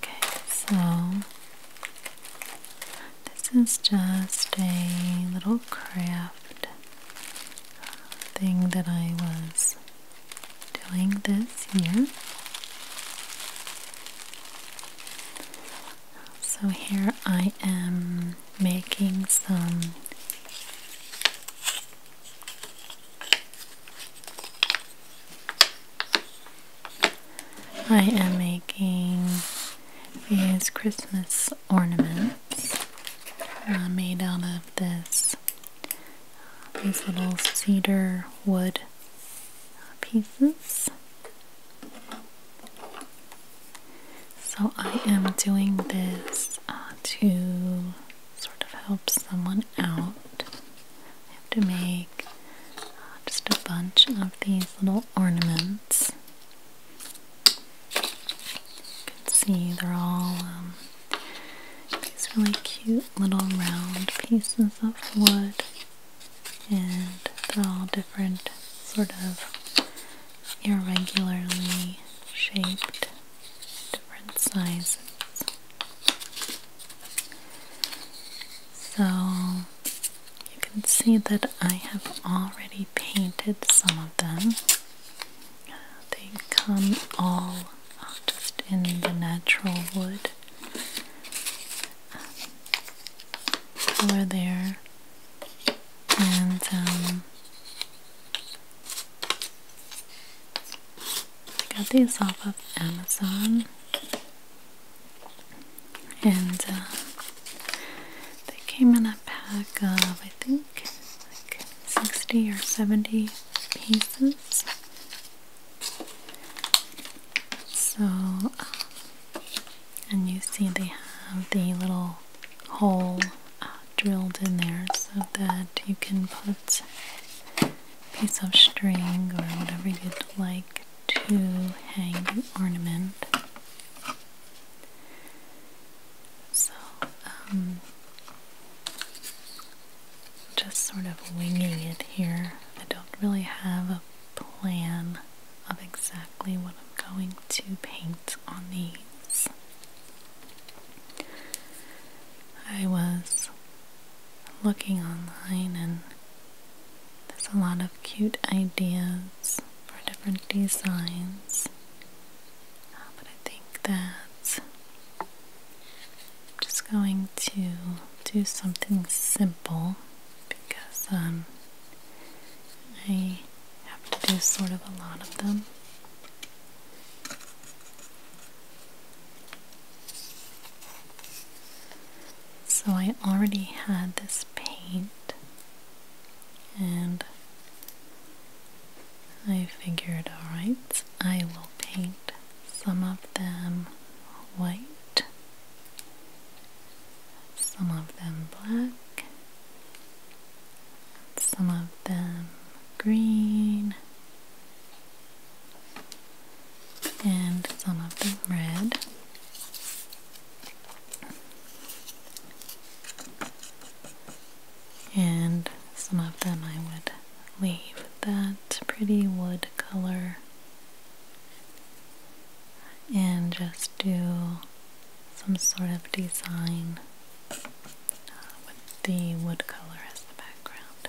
Okay, so this is just a little craft thing that I was doing this year. So here I am making some I am making these Christmas ornaments uh, made out of this uh, these little cedar wood pieces. So I am doing this uh, to sort of help someone out. to make uh, just a bunch of these little ornaments. You can see they're all um, these really cute little round pieces of wood, and they're all different, sort of irregularly shaped different sizes. So you can see that I have already painted some of them. They come all just in the natural wood color there. And um, I got these off of Amazon, and uh, they came in a pack of I think like 60 or 70 pieces. So, um, and you see they have the little hole uh, drilled in there so that you can put a piece of string or whatever you'd like to hang an ornament. So, um, just sort of winging it here. I don't really have a plan of exactly what I'm going to paint on these. I was looking online and there's a lot of cute ideas for different designs. Uh, but I think that I'm just going to do something simple because um, I have to do sort of a lot of them. So I already had this paint and I figured alright, I will paint some of them white, some of them black, some of them green, and some of them red. And some of them I would leave that pretty wood color and just do some sort of design with the wood color as the background.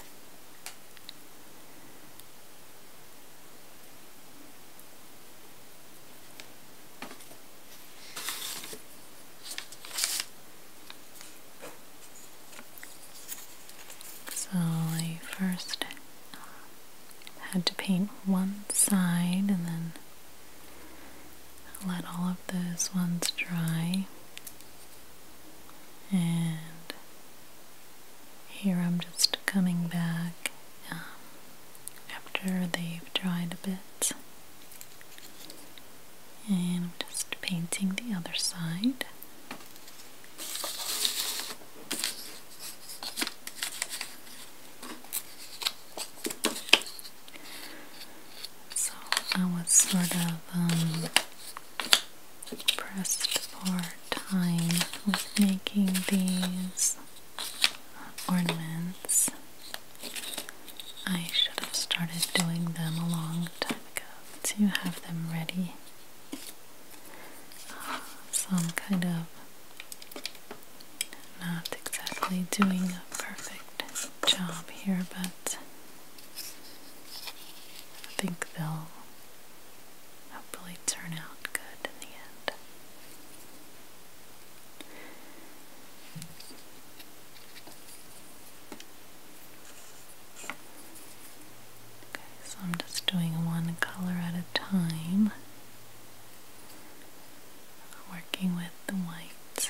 So I first had to paint one side and then let all of those ones dry and here I'm just coming back um, after they've dried a bit and I'm just painting the other side so I was sort of um, pressed for time with making these ornaments. I should have started doing them a long time ago Do you have them ready. Uh, I'm kind of not exactly doing a perfect job here, but I think they'll hopefully turn out good in the end. Okay, so I'm just doing one color at a time, working with the white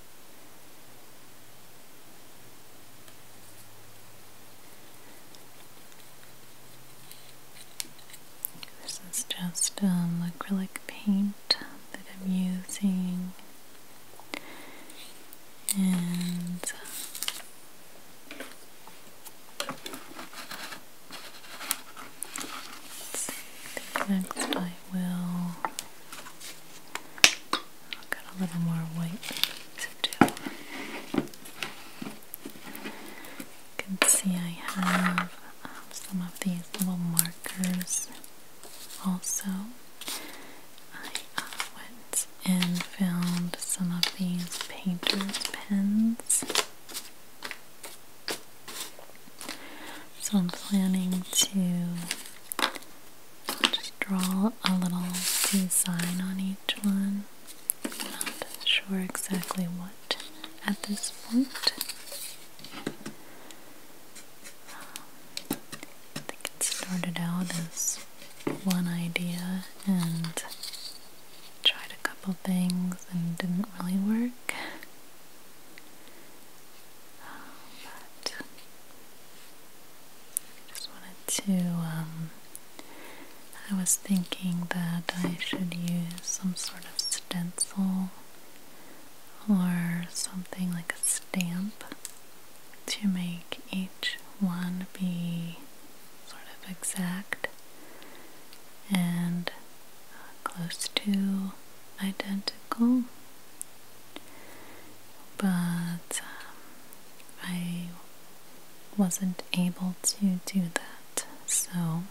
This is just um, acrylic paint that I'm using, and uh, the next item. I have got a little more white to do. You can see I have um, some of these little markers also. I uh, went and found some of these painter's pens. So I'm planning to just draw a little design on each one. Not sure exactly what at this point. I think it started out as one idea and tried a couple things and didn't really work. I just wanted to. Um, I was thinking that I should use some sort of stencil or something like a stamp to make each one be sort of exact and uh, close to identical but um, I wasn't able to do that so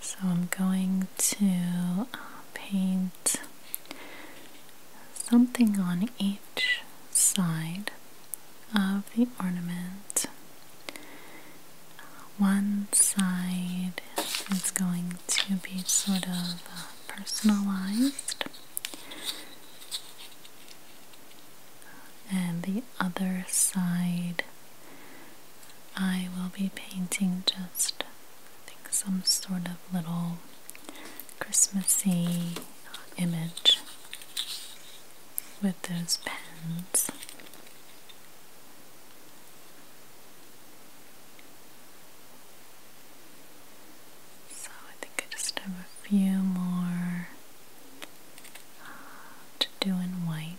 So I'm going to uh, paint something on each side of the ornament. One side is going to be sort of uh, personalized, and the other side I will be painting just I think some sort of little Christmassy image with those pens. So I think I just have a few more uh, to do in white.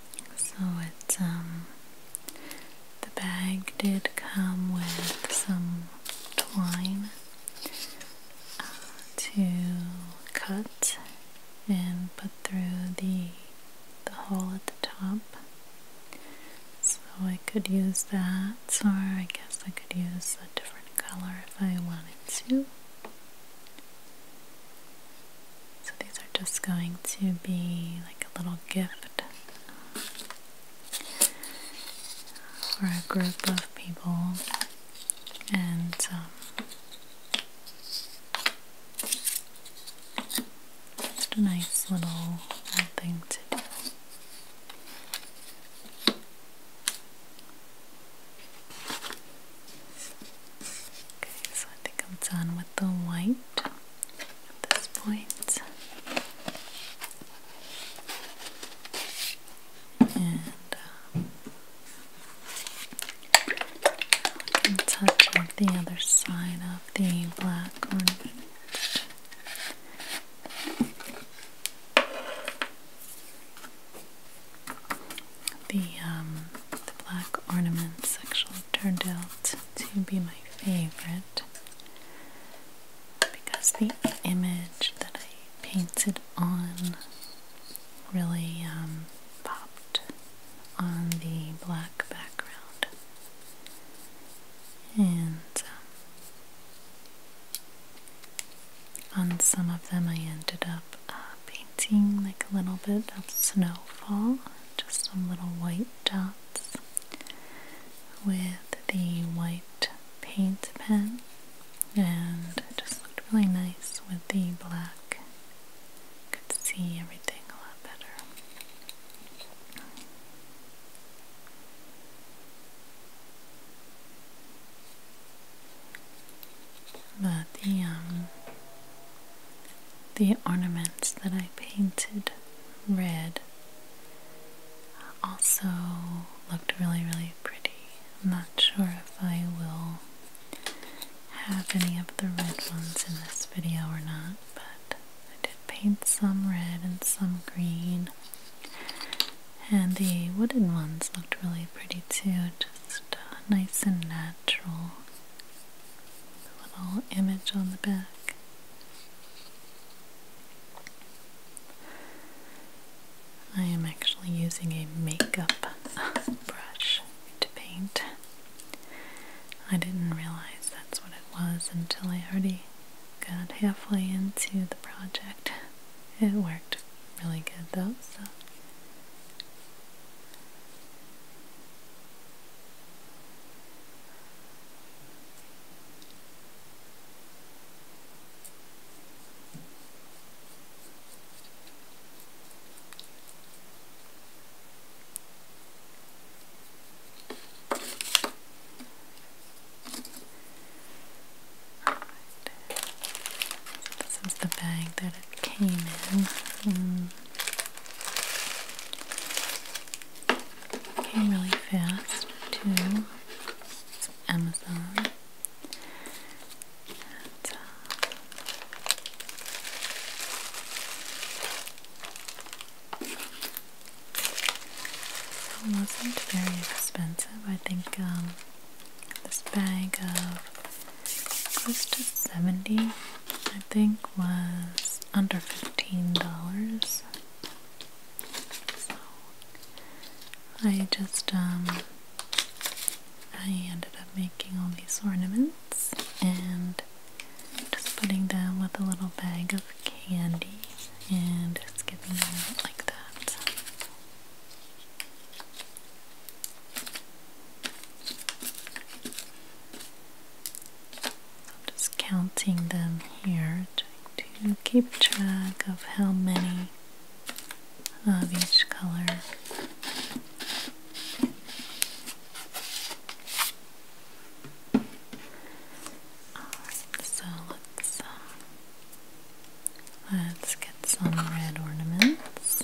So it's um, the bag did come with some twine uh, to cut and put through the the hole at the top. So I could use that or I guess I could use a different color if I wanted to. So these are just going to be like a little gift for a group of people and um, just a nice little thing to do. Okay, so I think I'm done with the white at this And uh, touching the other side of the black ornament. The um, the black ornaments actually turned out to be my favorite because the image that I painted on really um, popped on the black background. And um, on some of them, I ended up uh, painting like a little bit of snowfall, just some little white dots with the white paint pen and it just looked really nice with the black. Could see everything a lot better. But the um the ornaments that I painted red also looked really, really pretty. I'm not sure if I will have any of the red ones in this video or not, but I did paint some red and some green. And the wooden ones looked really pretty too, just uh, nice and natural little image on the back. I am actually using a makeup brush to paint. I didn't realize that's what it was until I already got halfway into the project. It worked really good though, so this is the bag that it came in. Hmm. Came really fast too. Amazon. Uh, it wasn't very expensive. I think um, this bag of close to 70 I think was under $15. So I just, um, I ended up making all these ornaments and just putting them with a little bag of candy and just giving them out like that. I'm just counting them here, trying to keep track of how many of each color. so let's uh, let's get some red ornaments.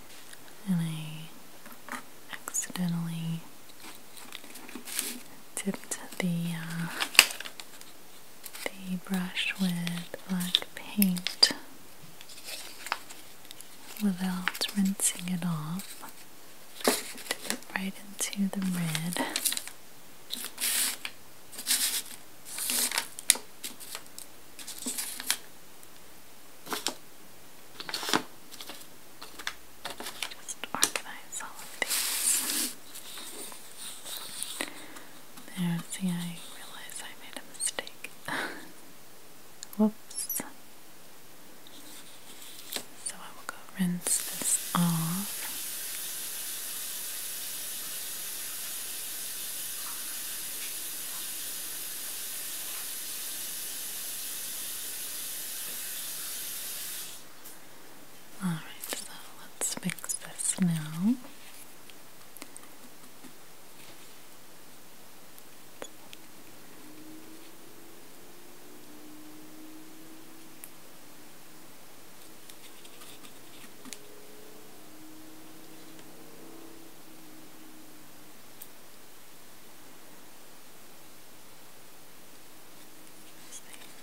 and I accidentally tipped the uh, the brush with black paint without rinsing it off. Dip it right into the red. Just organize all of these. There, see, I realize I made a mistake. Whoops. So I will go rinse this off. All right, so let's fix this now.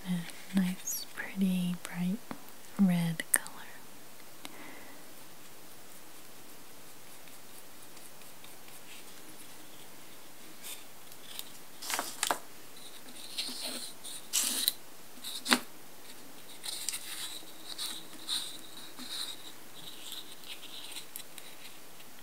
A nice, pretty, bright red color.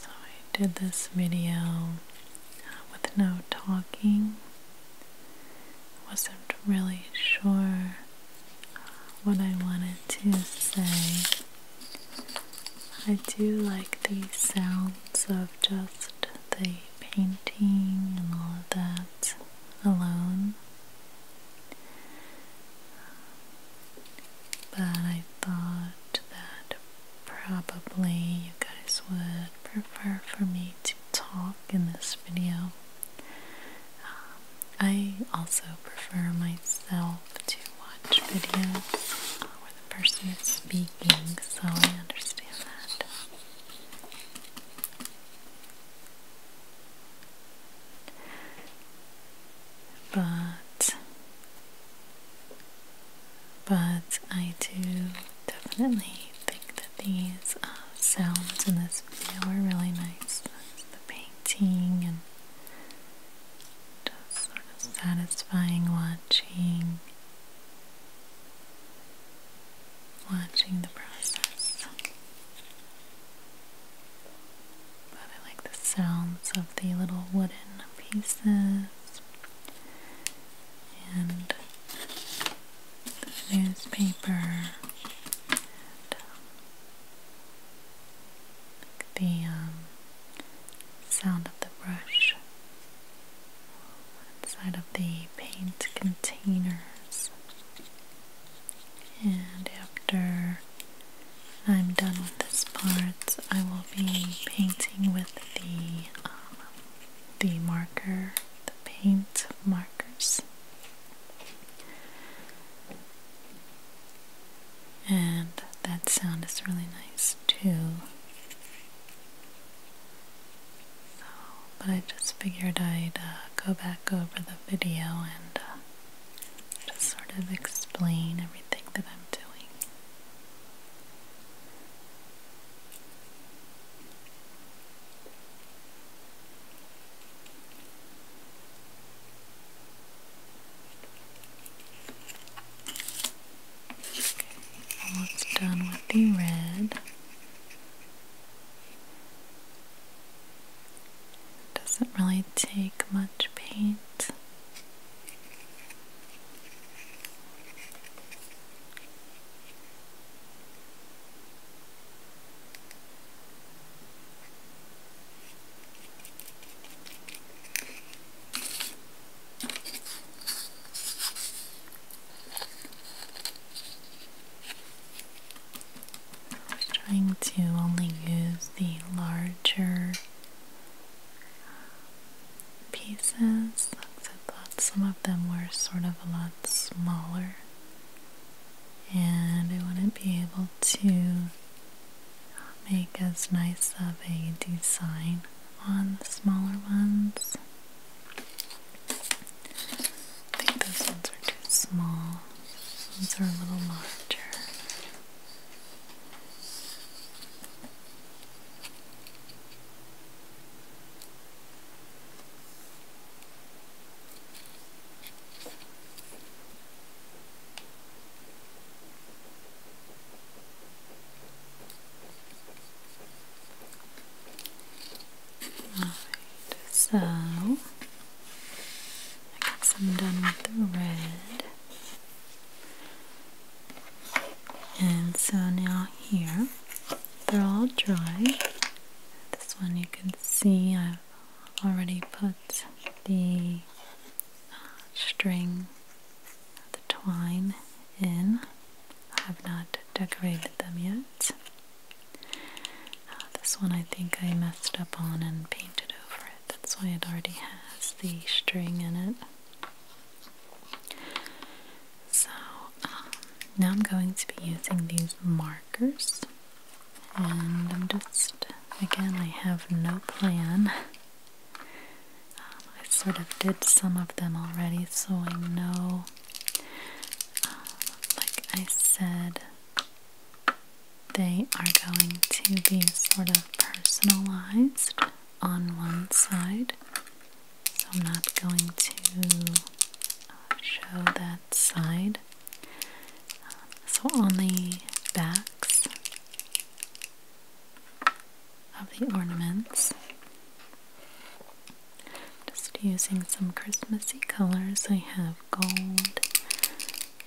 So I did this video uh, with no talking. Wasn't really sure uh, what I wanted to say. I do like the sounds of just the painting and all of that alone. But I thought that probably you guys would prefer for me to talk in this video. Um, I also prefer myself to watch videos where the person is speaking, so I understand that but but I do definitely think that these uh, sounds in this video are really nice. the painting and just sort of satisfying watching watching the process. But I like the sounds of the little wooden pieces and the newspaper. the um, sound of the brush inside of the paint containers and after I'm done with this part I will be painting with the um, the marker, the paint markers and that sound is really nice too so but I just figured I'd uh, go back over the video and uh, just sort of explain everything that I'm doing. Okay, almost done with the red. Doesn't really take much paint. I was trying to only use the larger pieces. I thought some of them were sort of a lot smaller, and I wouldn't be able to make as nice of a design on the smaller ones. I think those ones are too small. Those are a little larger. Alright, so I guess I'm done with the red. And so now here, they're all dry. This one you can see I've already put the uh, string, the twine in. I have not decorated them yet. Oh, this one I think I messed up on and painted over it. That's why it already has the string in it. So um, now I'm going to be using these markers. And I'm just, again, I have no plan. Um, I sort of did some of them already, so I know, um, like I said, they are going to be sort of personalized on one side. So I'm not going to uh, show that side. Uh, so on the backs of the ornaments, just using some Christmassy colors, I have gold,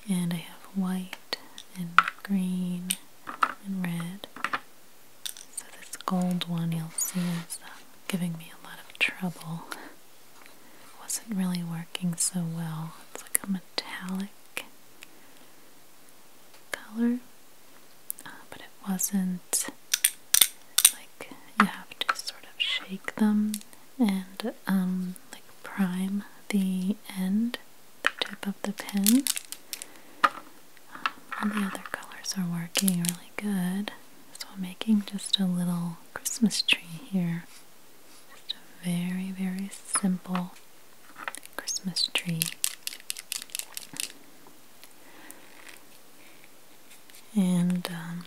and I have white, and green, and red. So this gold one you'll see is uh, giving me a lot of trouble. It wasn't really working so well. It's like a metallic color, uh, but it wasn't like you have to sort of shake them and um, like prime the end, the tip of the pen. Um, the other colors are working really good. So I'm making just a little Christmas tree here. Just a very, very simple Christmas tree. And um,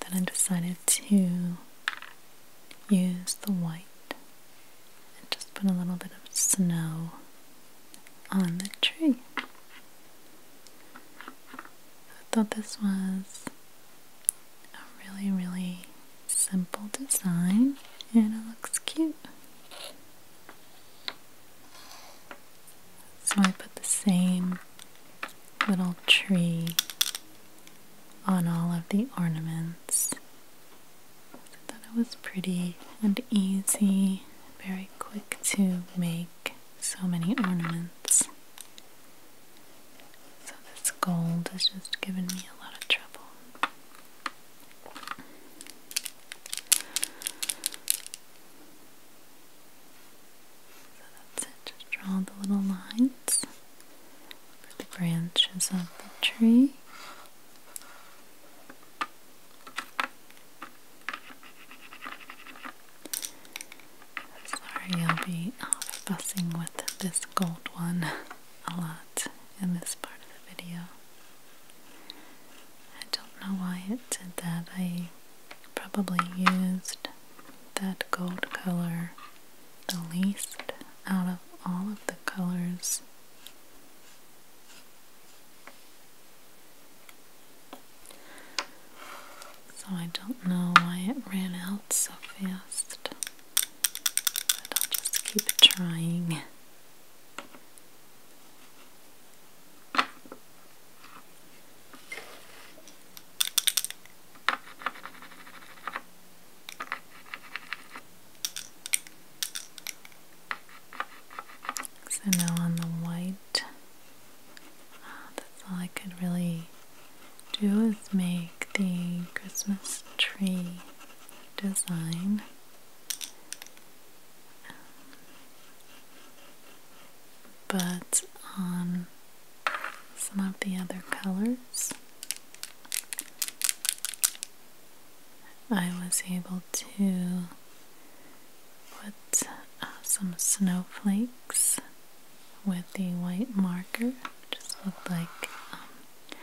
then I decided to use the white and just put a little bit of snow on the tree. I thought this was a really, really simple design and it looks cute. So I put the same little tree on all of the ornaments. I thought it was pretty and easy, very quick to make so many ornaments. So this gold has just given me a lot of trouble. So that's it, just draw the little lines for the branches of the tree. Sorry, I'll be off fussing with this gold one a lot in this part of the video. I don't know why it did that. I probably used that gold color the least out of all of the colors. So I don't know why it ran out so fast, but I'll just keep trying. So now on the white, ah, that's all I could really do is make the Christmas tree design. But on some of the other colors. I was able to put uh, some snowflakes with the white marker. Just looked like um,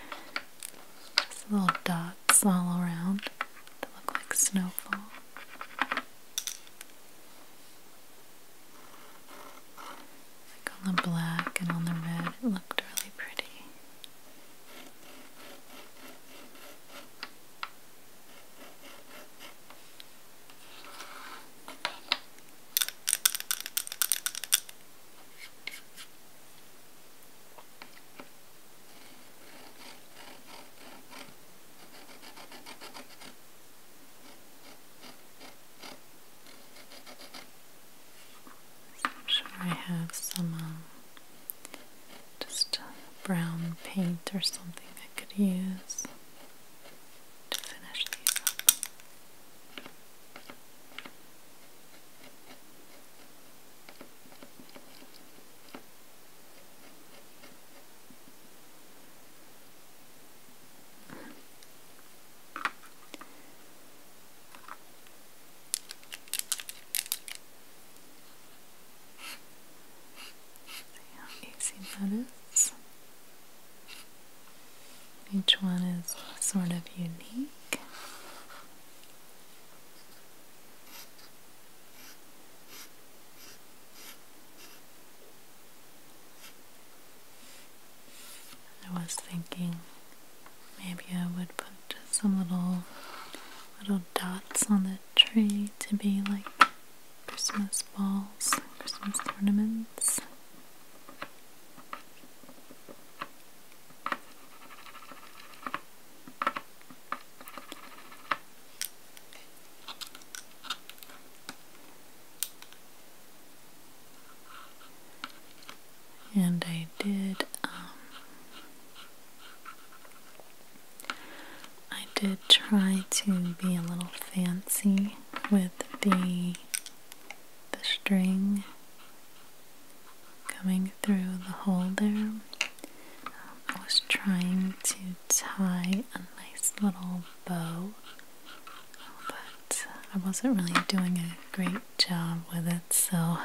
just little dots all around that look like snowfall. Like on the black and on the red, it looked really pretty. I'm sure I have some um, just brown paint or something I could use to finish these up. How easy that is. Each one is sort of unique. I was thinking maybe I would put some little little dots on the tree to be like Christmas balls, Christmas ornaments. And I did, um, I did try to be a little fancy with the the string coming through the hole there. I was trying to tie a nice little bow but I wasn't really doing a great job with it, so uh,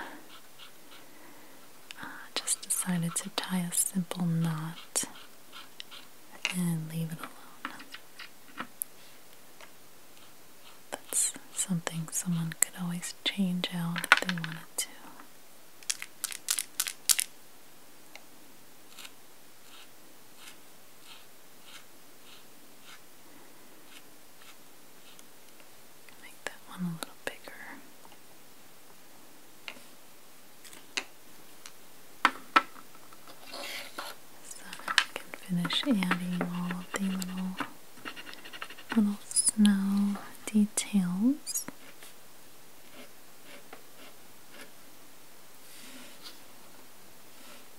I just decided to tie a simple knot and leave it alone. That's something someone could always change out if they wanted to. Make that one a little bigger. So I can finish adding all of the little little snow details.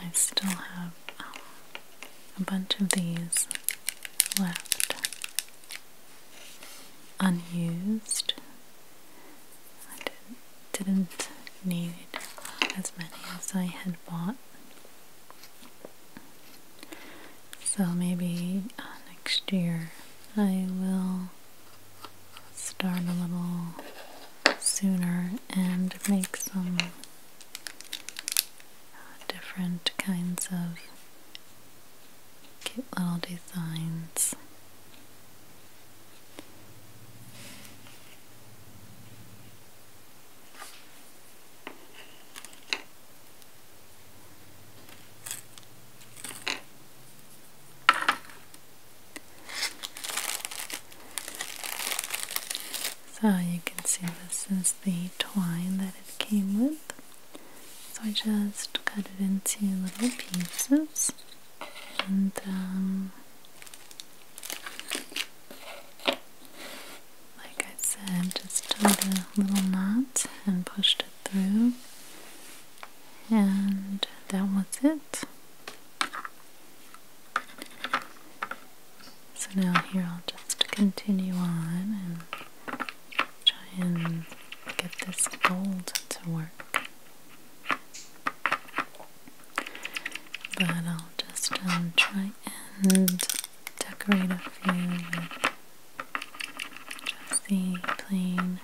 I still have um, a bunch of these left unused. I didn't need as many as I had bought. So maybe uh, next year I will start a little sooner and make some uh, different kinds of cute little designs. So you can see this is the twine that it came with. So I just cut it into little pieces and um, like I said, just tied a little knot and pushed it through, and that was it. So now here I'll just continue on and try and get this gold to work. But I'll just um, try and decorate a few with just the plain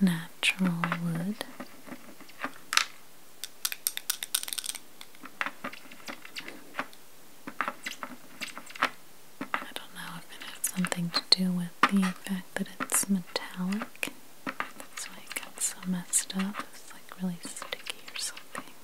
natural wood. I don't know if it has something to do with the fact that it's metallic. That's why it got so messed up. It's like really sticky or something.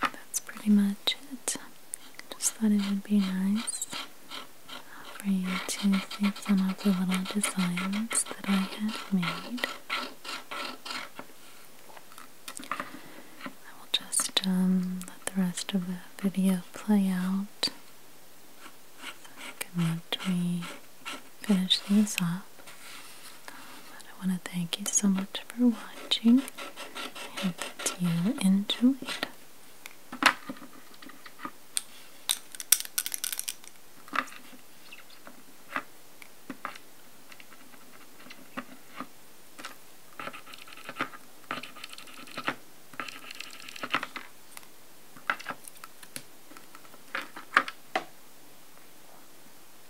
that's pretty much it. Just thought it would be nice for you to see some of the little designs that I had made. I will just um, let the rest of the video play out. So can let me finish these up. I want to thank you so much for watching. I hope that you enjoyed.